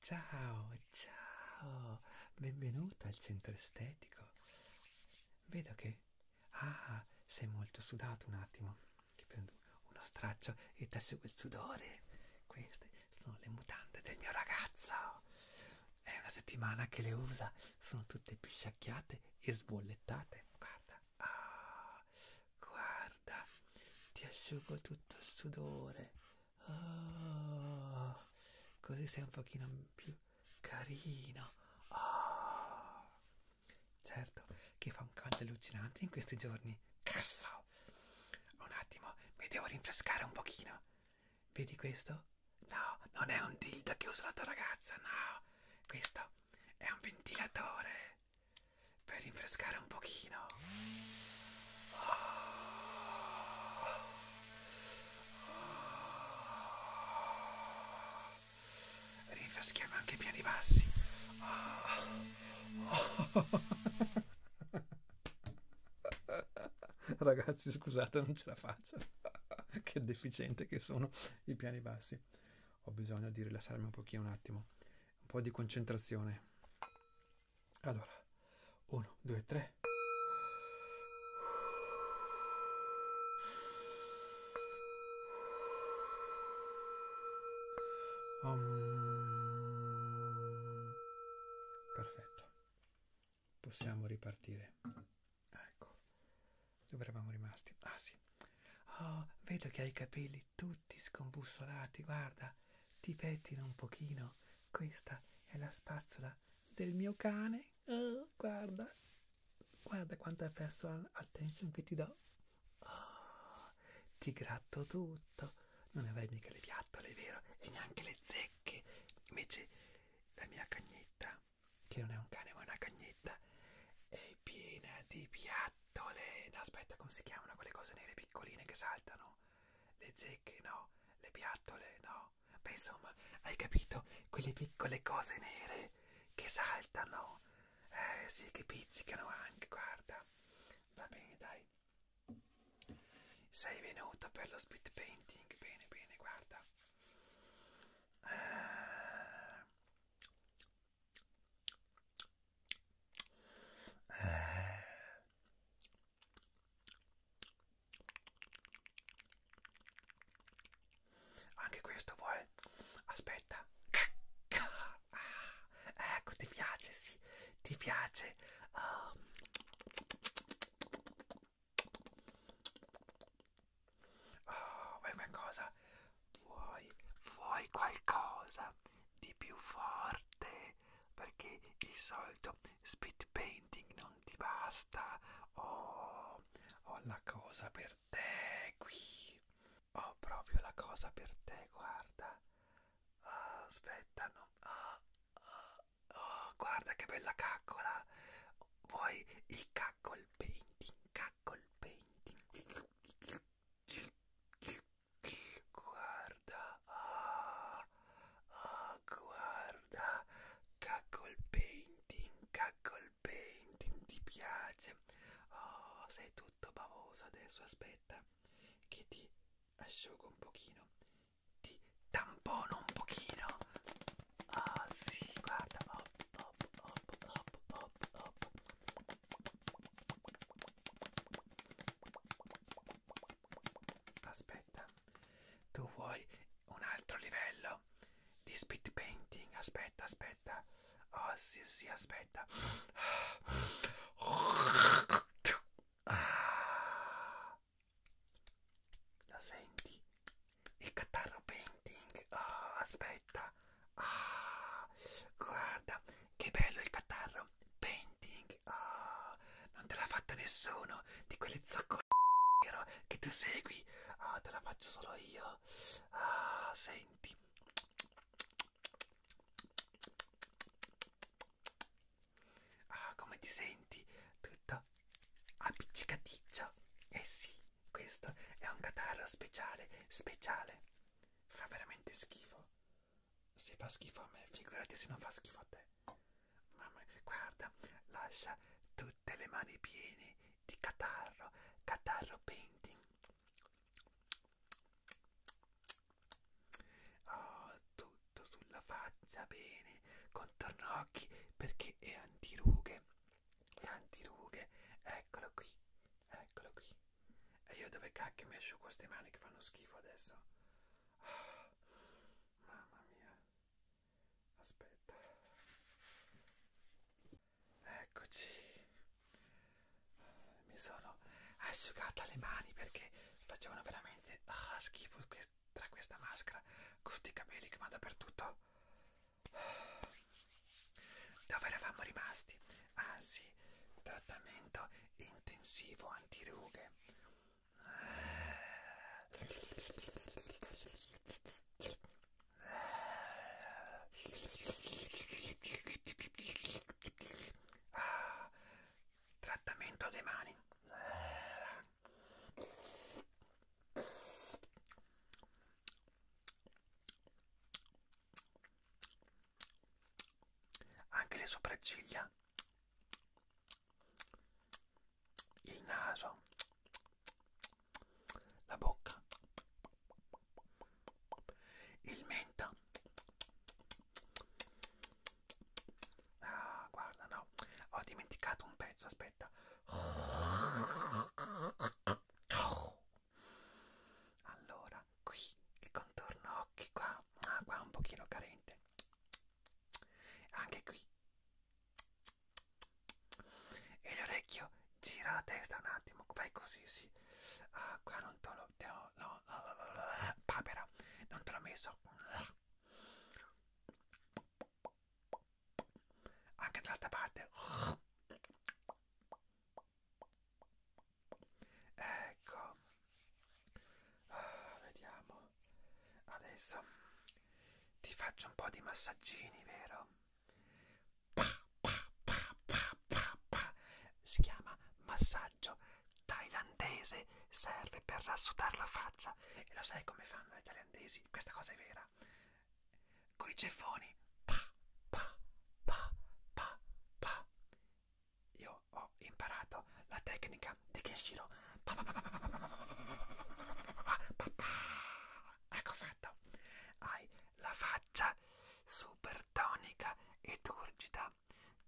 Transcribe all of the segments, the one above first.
Ciao, ciao, benvenuta al centro estetico. Vedo che... Ah, sei molto sudato un attimo. Che prendo uno straccio e ti asciugo il sudore. Queste sono le mutande del mio ragazzo. È una settimana che le usa sono tutte pisciacchiate e sbollettate guarda ah, guarda ti asciugo tutto il sudore oh, così sei un pochino più carino oh. certo che fa un caldo allucinante in questi giorni cazzo un attimo mi devo rinfrescare un pochino vedi questo No, non è un dildo che usa la tua ragazza, no. Questo è un ventilatore per rinfrescare un pochino. Oh. Oh. Rinfreschiamo anche i piani bassi. Oh. Oh. Ragazzi, scusate, non ce la faccio. che deficiente che sono i piani bassi. Ho bisogno di rilassarmi un pochino un attimo, un po' di concentrazione. Allora, 1, 2, 3. Um. Perfetto possiamo ripartire. Ecco, dove eravamo rimasti? Ah sì. Oh, vedo che hai i capelli tutti scombussolati, guarda, ti pettina un pochino. Questa è la spazzola del mio cane. Oh, guarda, guarda quanta personal attention che ti do. Oh, ti gratto tutto. Non avrei mica le piattole, vero? E neanche le zecche. Invece la mia cagnetta che non è un cane ma è una cagnetta, è piena di piattole, no aspetta come si chiamano quelle cose nere piccoline che saltano, le zecche no, le piattole no, beh insomma hai capito, quelle piccole cose nere che saltano, eh sì che pizzicano anche, guarda, va bene dai. Sei venuto per lo speed painting? Bene, bene, guarda. Eh. Anche questo vuoi? Aspetta. Ah, ecco, ti piace, sì, ti piace. Oh. Oh, vuoi qualcosa? Vuoi, vuoi qualcosa di più forte? Perché il solito speed painting non ti basta. Oh, ho la cosa per te qui. Ho proprio la cosa per te, guarda. Oh, aspetta, no. Oh, ah, oh, ah oh, guarda che bella caccola vuoi il caccol painting caccol painting guarda ah, ah, guarda caccol painting caccol painting ti piace oh sei tutto bavoso adesso aspetta che ti asciugo un pochino ti tampono un pochino ah oh, si sì, guarda op op op op op op aspetta tu vuoi un altro livello di speed painting aspetta aspetta oh si sì, si sì, aspetta ah. ah la senti? Il catarro painting, oh, aspetta, ah, guarda che bello il catarro painting, oh, non te l'ha fatta nessuno di quelle zoccolero che tu segui, oh, te la faccio solo io, ah, senti. Ah, come ti senti? Tutta appiccicaticcia. Eh sì, questo è un catarro speciale, speciale. Fa veramente schifo. Se fa schifo a me, figurati se non fa schifo a te. Mamma, guarda, lascia tutte le mani piene di catarro, catarro painting. Oh, tutto sulla faccia bene con tornocchi perché è antirughe è antirughe eccolo qui eccolo qui e io dove cacchio mi asciugo queste mani che fanno schifo adesso oh, mamma mia aspetta eccoci mi sono asciugata le mani perché facevano veramente oh, schifo queste tra questa maschera con sti capelli che va dappertutto dove eravamo rimasti? ah sì trattamento intensivo antirughe ah, trattamento alle mani anche le sopracciglia il naso la bocca il mento Ah, guarda, no, ho dimenticato un pezzo, aspetta. Allora, qui il contorno occhi qua, ah, qua un pochino carente. Anche qui. E l'orecchio gira la testa un attimo, fai così, sì. Ah, qua non te l'ho, no, no, papera, non te l'ho messo anche dall'altra parte ecco ah, vediamo adesso ti faccio un po' di massaggini vero pa, pa, pa, pa, pa, pa. si chiama massaggio thailandese serve per rassutare la faccia. E lo sai come fanno i thailandesi? Questa cosa è vera. Con i ceffoni. Pa, pa, pa, pa, pa. Io ho imparato la tecnica di Kenshiro. Pa, pa, pa, pa, pa, pa, pa, pa, pa. Ecco fatto. Hai la faccia super tonica e turgida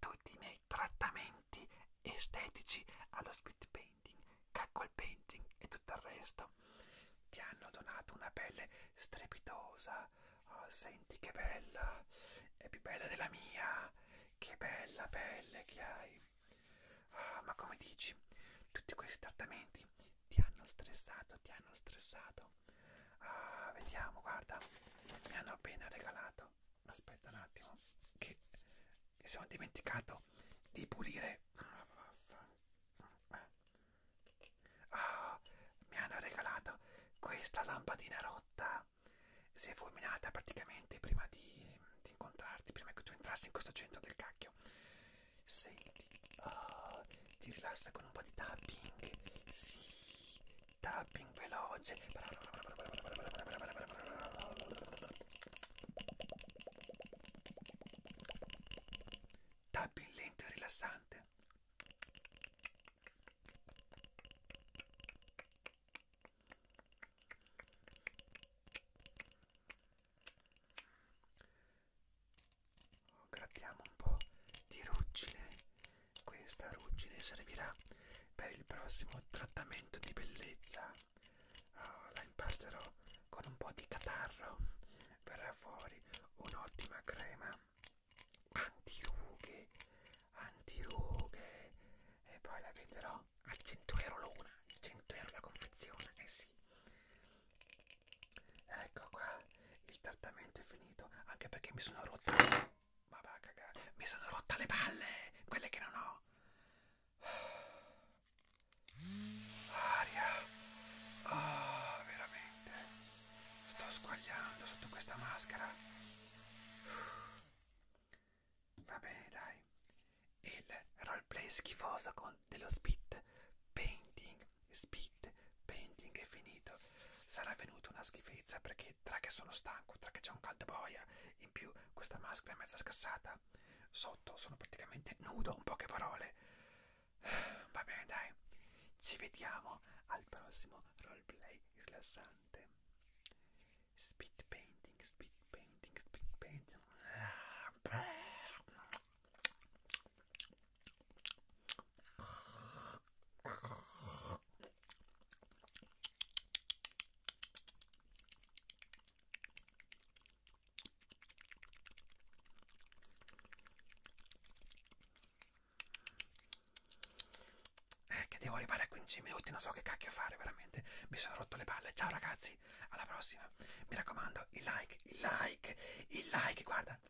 tutti i miei trattamenti estetici allo speed painting, cackle painting e tutto il resto ti hanno donato una pelle strepitosa. Oh, senti che bella, è più bella della mia, che bella pelle che hai. Oh, ma come dici, tutti questi trattamenti ti hanno stressato, ti hanno stressato. Ah, vediamo, guarda, mi hanno appena regalato aspetta un attimo che mi sono dimenticato di pulire oh, mi hanno regalato questa lampadina rotta si è fulminata praticamente prima di, di incontrarti prima che tu entrassi in questo centro del cacchio senti oh, ti rilassa con un po' di tapping sì tapping veloce tapping lento e rilassante grattiamo un po' di ruggine questa ruggine servirà per il prossimo trattamento di bellezza. Oh, la impasterò con un po' di catarro. Verrà fuori un'ottima crema antirughe, antirughe. E poi la venderò a 100 euro l'una, 100 euro la confezione, eh sì. Ecco qua, il trattamento è finito, anche perché mi sono rotta Vabbè, a cagare. Mi sono rotta le palle, quelle che non ho. Aria. Oh, veramente. Sto squagliando sotto questa maschera. Va bene, dai. Il roleplay schifoso con dello spit painting. Spit painting è finito sarà venuta una schifezza perché tra che sono stanco, tra che c'è un caldo boia, in più questa maschera è mezza scassata, sotto sono praticamente nudo, in poche parole. Va bene dai, ci vediamo al prossimo roleplay rilassante. Speed painting, speed painting, speed painting. Ah, eh, che devo arrivare a 15 minuti, non so che cacchio fare veramente. Mi sono rotto le palle. Ciao ragazzi, alla prossima. Mi raccomando, il like, il like, il like, guarda,